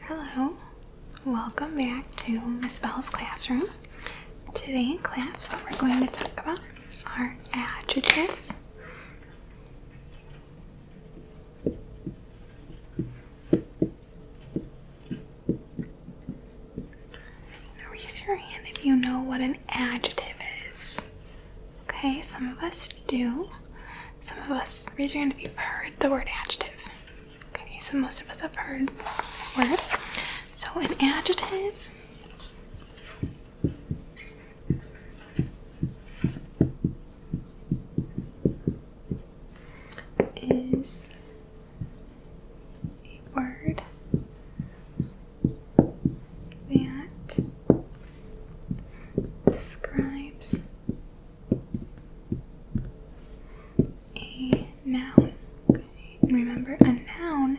Hello, welcome back to Miss Bell's classroom. Today in class, what we're going to talk about are adjectives. raise your hand if you know what an adjective is. Okay, some of us do. Some of us raise your hand if you've heard the word adjective. Okay, so most of us have heard word. So an adjective is a word that describes a noun. Remember, a noun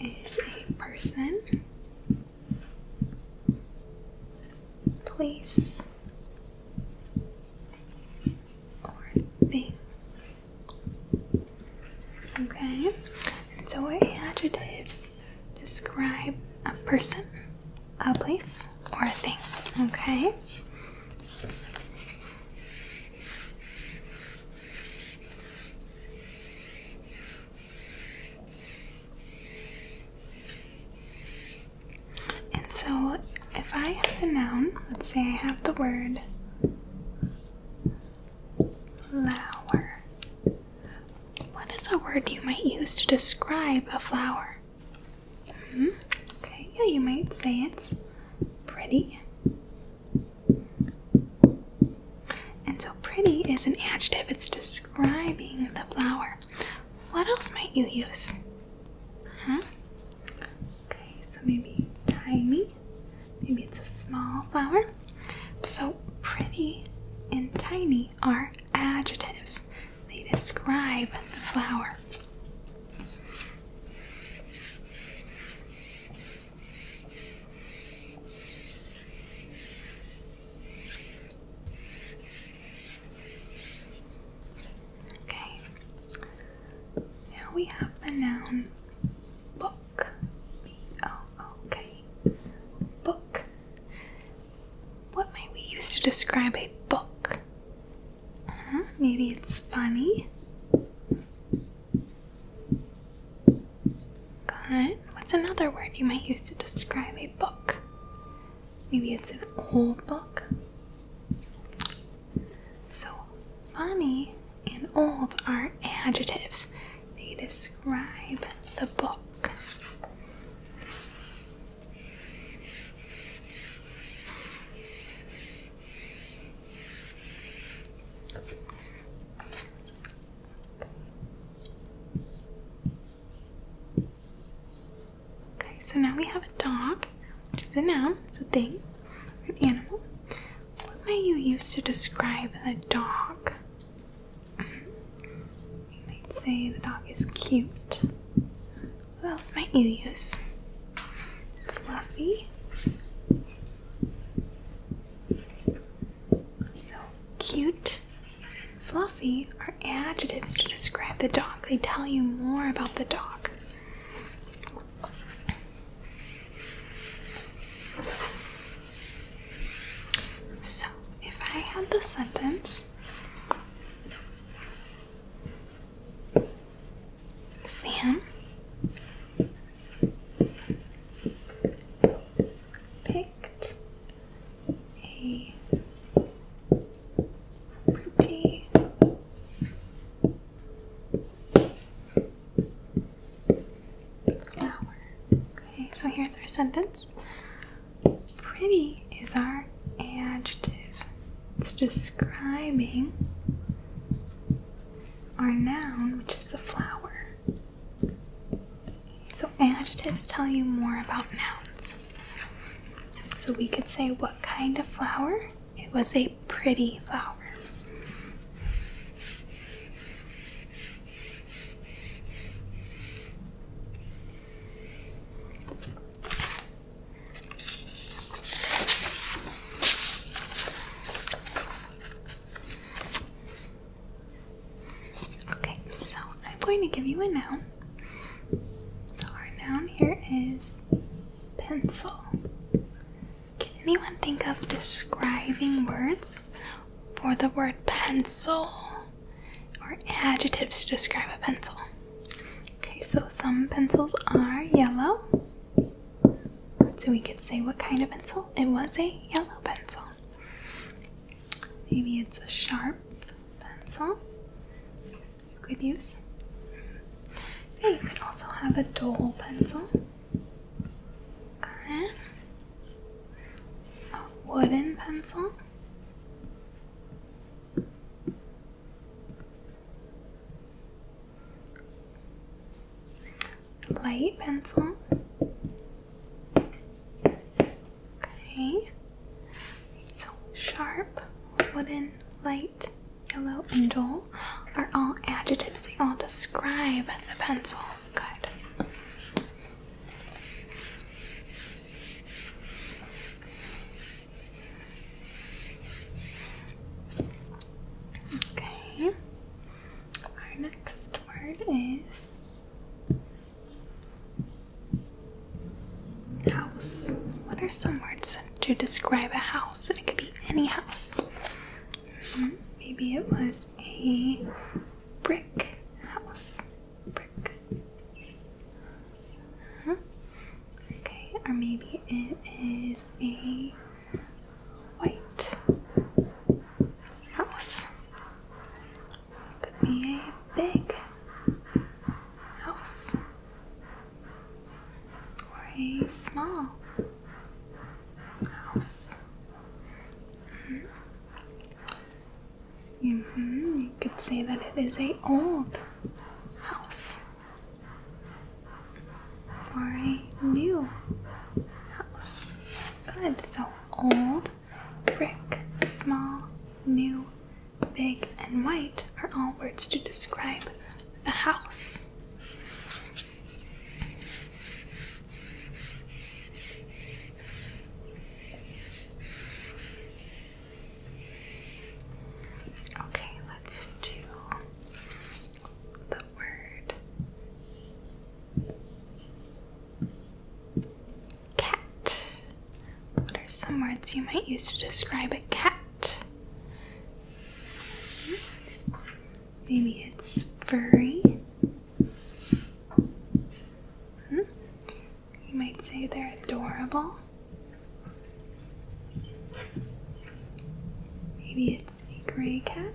is a person, place, or thing. Okay, and so adjectives describe a person, a place or a thing. Okay. And so, if I have a noun, let's say I have the word flower. What is a word you might use to describe a flower? -hmm. Okay, yeah, you might say it's pretty. And so, pretty is an adjective, it's describing the flower. What else might you use? Huh? Okay, so maybe tiny, maybe it's a small flower. So, pretty and tiny are adjectives. They describe the flower. Okay, now we have the noun book. B O O K. Book. What might we use to describe a book? Huh? Hmm, maybe it's funny. Good. What's another word you might use to describe a book? Maybe it's an old book. So, funny and old are adjectives, they describe the book. Okay, so now we have a dog, which is a noun, it's a thing, an animal. What might you use to describe a dog? I'd say the dog is cute. What else might you use? Fluffy. So cute, fluffy are adjectives to describe the dog. They tell you more about the dog. So, if I had the sentence, Sam picked a pretty flower. Okay, so here's our sentence. Pretty is our adjective. It's describing our noun, which is the flower. So adjectives tell you more about nouns. So we could say what kind of flower? It was a pretty flower. Okay, so I'm going to give you a noun. our noun here is pencil. Can anyone think of describing words for the word pencil? or adjectives to describe a pencil. Okay, so some pencils are yellow. So we could say what kind of pencil? It was a yellow pencil. Maybe it's a sharp pencil you could use. you can also have a dull pencil. Okay. A wooden pencil. Light pencil. Okay. So sharp, wooden, light, yellow, and dull are all adjectives. They all describe the pencil. Good. Okay. Our next word is house. What are some words to describe a house? And it could be any house. Mm-hmm. Maybe it was a brick house. Brick Okay, or maybe it is a white house. Could be a big house or a small house. Mm-hmm. Mm-hmm. You could say that it is a old house or a new house. Good. So old, brick, small, new, big, and white are all words to describe a house. Okay, let's do the word cat. What are some words you might use to describe a cat? Maybe it's furry. Hmm? You might say they're adorable. Maybe it's a gray cat.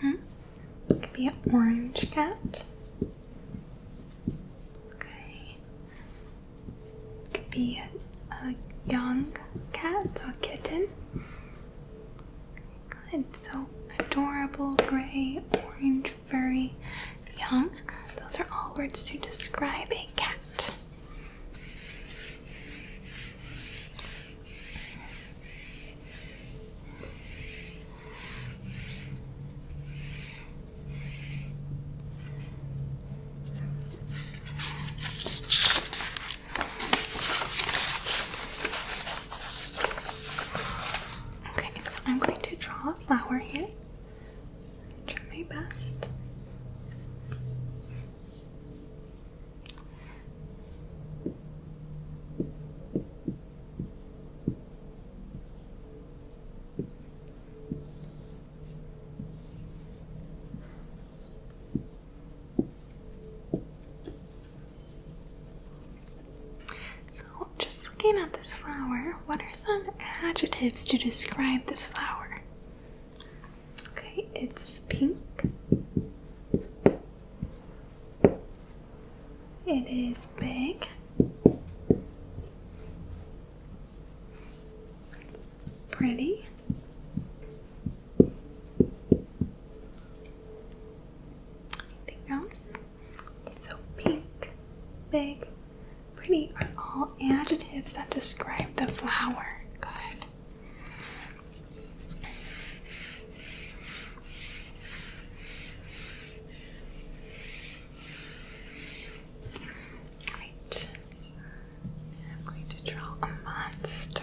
Hmm? could be an orange cat. Okay. could be a, a young cat or kitten. Good. So adorable gray, orange very young. Those are all words to describe a cat. Okay, so I'm going to draw flower here. Try my best. So, just looking at this flower, what are some adjectives to describe this flower? Okay, it's pink. It is big. pretty. Anything else? So, pink, big, pretty are all adjectives that describe the flower. Good. Alright, I'm going to draw a monster.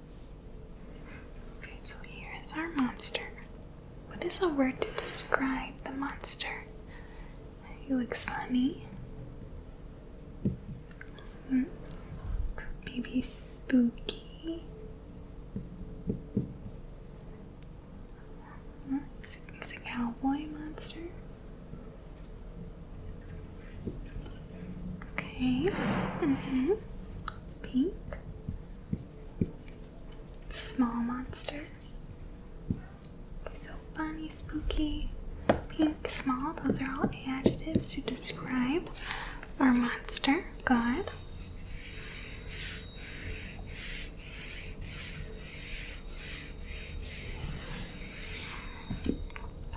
Okay, so here is our monster. What is a word to describe the monster? He looks funny. Hmm. Maybe spooky. He's hmm. a cowboy monster. Okay. Mm -hmm. Pink. Small monster. So funny, spooky. Pink, small. Those are all adjectives to describe our monster. Good.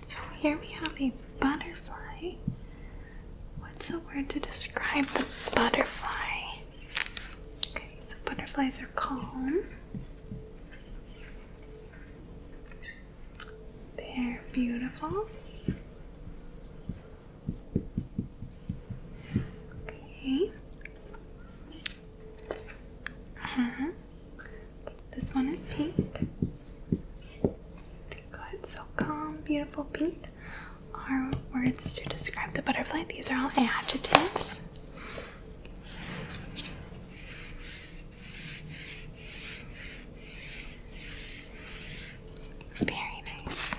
so here we have a butterfly. What's a word to describe a butterfly? Okay, so butterflies are calm. They're beautiful. Okay. Uh -huh. This one is pink. Good, so calm, beautiful pink are words to describe the butterfly. These are all adjectives. Very nice.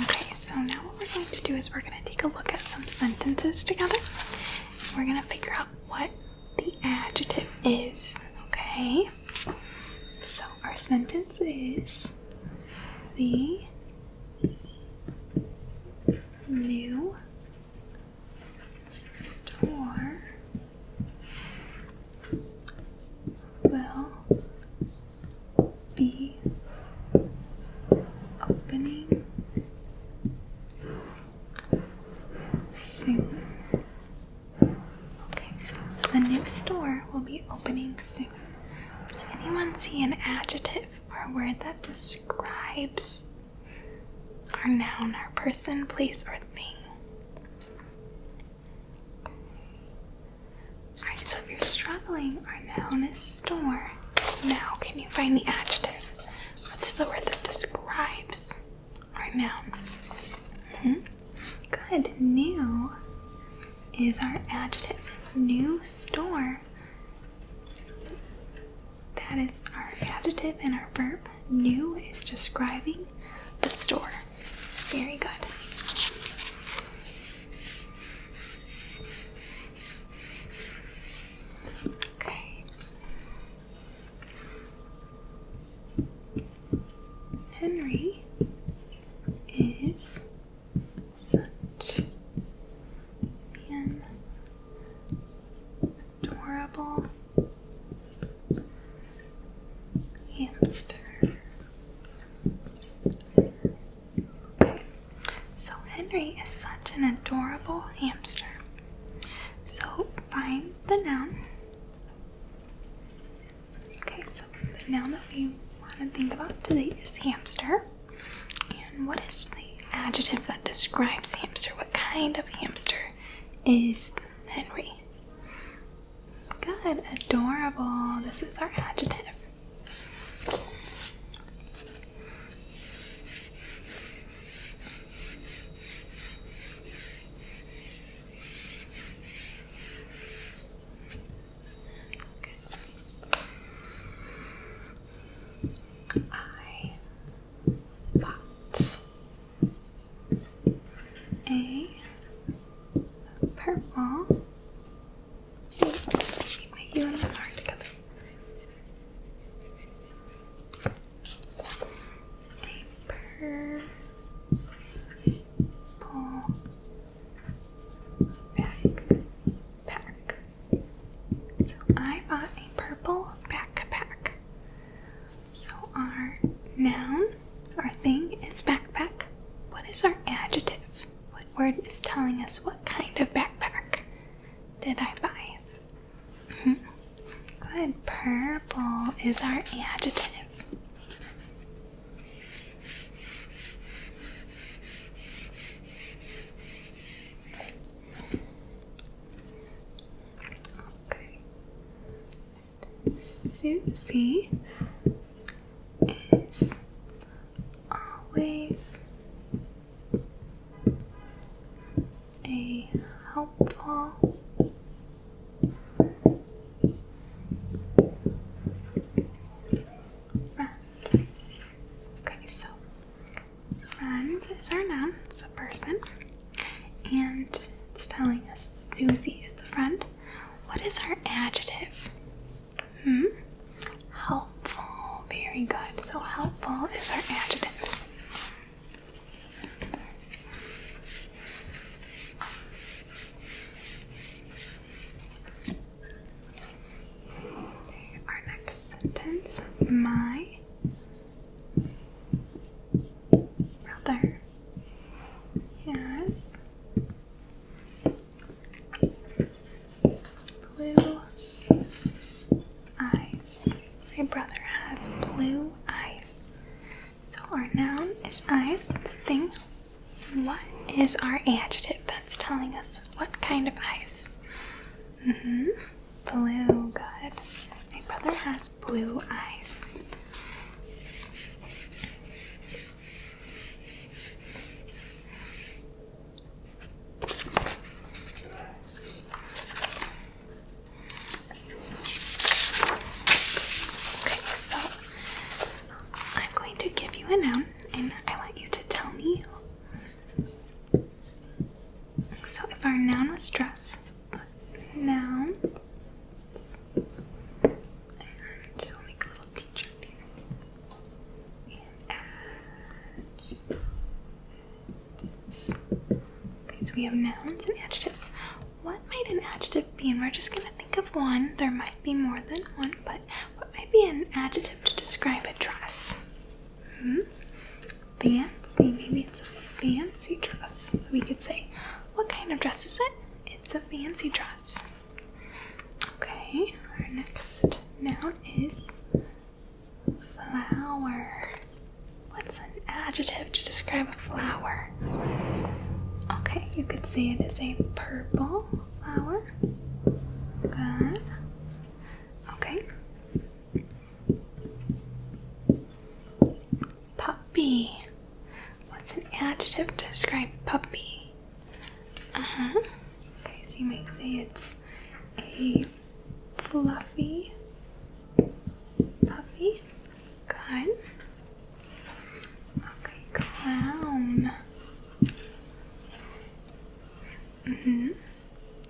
Okay, so now what we're going to do is we're going to take a look at some sentences together. We're going to figure out what the adjective is, okay? So our sentence is the new store will be opening soon. Okay, so the new store will be opening soon. Does anyone see an adjective or a word that describes our noun, our person, place, or thing? Alright, so if you're struggling right now in a store, now can you find the adjective? What's the word that describes our noun? -hmm. Good. New is our adjective. New store. That is our adjective and our verb. New is describing the store. Very good. Okay. Henry is such an adorable hamster. So Henry is such an adorable hamster. So find the noun. Okay, so the noun that we want to think about today is hamster. And what is the adjective that describes hamster? What kind of hamster is Henry? Good, adorable. This is our adjective. I bought a purple. Oops, my U and R together. A purple backpack. So I bought a purple backpack. So our noun, our thing is backpack. What is our adjective? What word is telling us what kind of backpack did I buy? -hmm. Good. Purple is our adjective. Okay. Susie is always a helpful friend. Okay, so friend is our noun, it's a person, and it's telling us Susie is the friend. What is our adjective? Hmm? Helpful. Very good. So helpful is our adjective. Our next sentence. My brother. Yes. Blue eyes. My brother has blue eyes. So our noun is eyes. It's a thing. What is our adjective that's telling us what kind of eyes? hmm Blue, good. My brother has blue eyes. Okay, so I'm going to give you a noun and I want you to tell me. So if our noun was dress, nouns. And we make a little teacher And adjectives. Okay, so we have nouns and adjectives. What might an adjective be? And we're just going to think of one. There might be more than one, but what might be an adjective to describe a dress? -hmm. Fancy. Maybe it's a fancy dress. So we could say, what kind of dress is it? It's a fancy dress. Okay, our next noun is flower. What's an adjective to describe a flower? Okay, you could say it is a purple flower. Good. Okay. Puppy. What's an adjective to describe puppy? Uh huh. Okay, so you might say it's a fluffy puppy. Good. Okay, clown. Mm hmm.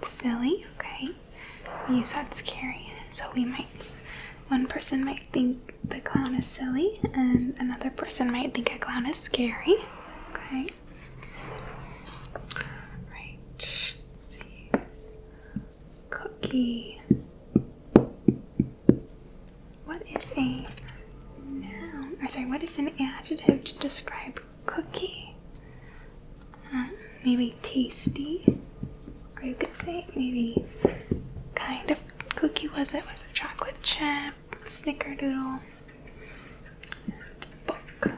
Silly. Okay. You said scary, so we might one person might think the clown is silly, and another person might think a clown is scary. Okay. Right. Let's see. Cookie. What is a noun? Or sorry, what is an adjective to describe cookie? Um, maybe tasty or you could say maybe kind of cookie was it? Was a chocolate chip, snickerdoodle, book?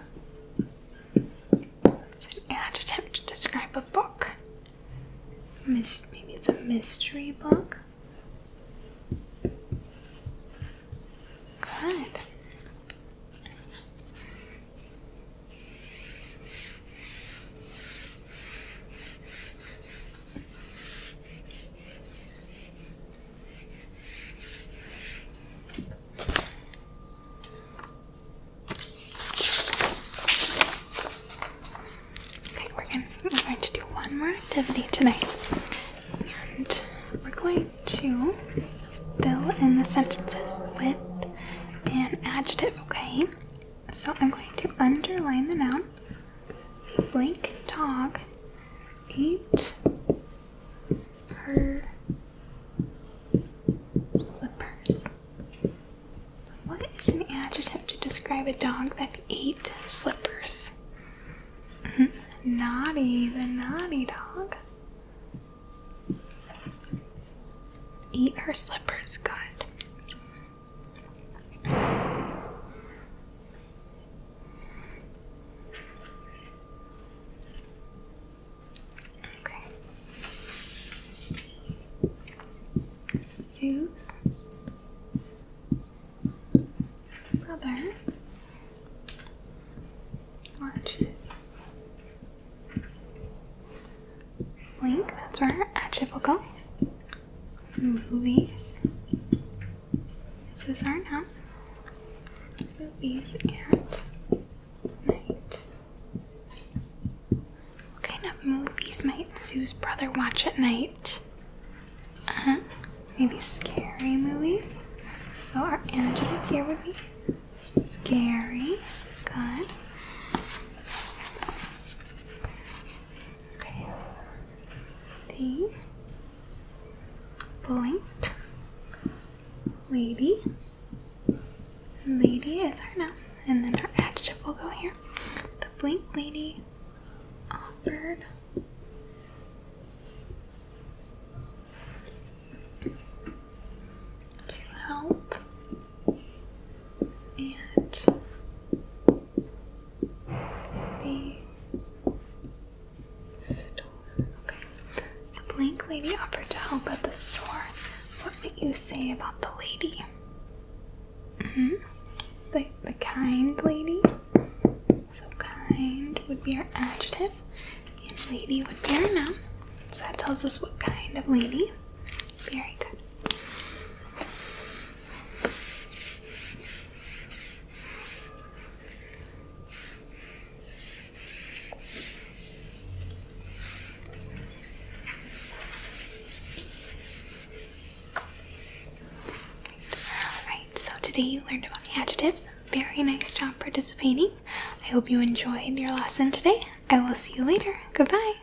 It's an adjective to describe a book. maybe it's a mystery book. Good. Okay, we're going, we're going to do one more activity tonight. And we're going to fill in the sentences with an adjective, okay? So I'm going to underline the noun Tom, blank Dog, ate her slippers. What is an adjective to describe a dog that ate slippers? Mm-hmm. naughty, the naughty dog. Eat her slippers, good. Okay. Sue's brother watches Link. that's where her at go movies. This is our nap. Movies at night. What kind of movies might Sue's brother watch at night? Uh-huh. Maybe scary movies. So our adjective here would be scary. Good. Okay. The Blink Lady. Lady is our noun, and then our adjective will go here. The Blink Lady offered. To help and the store. Okay. The blank lady offered to help at the store. What would you say about the lady? hmm The, the kind lady. So kind would be our adjective, and lady would be our noun. So that tells us what kind of lady. Very good. Alright, so today you learned about adjectives. Very nice job participating. I hope you enjoyed your lesson today. I will see you later. Goodbye.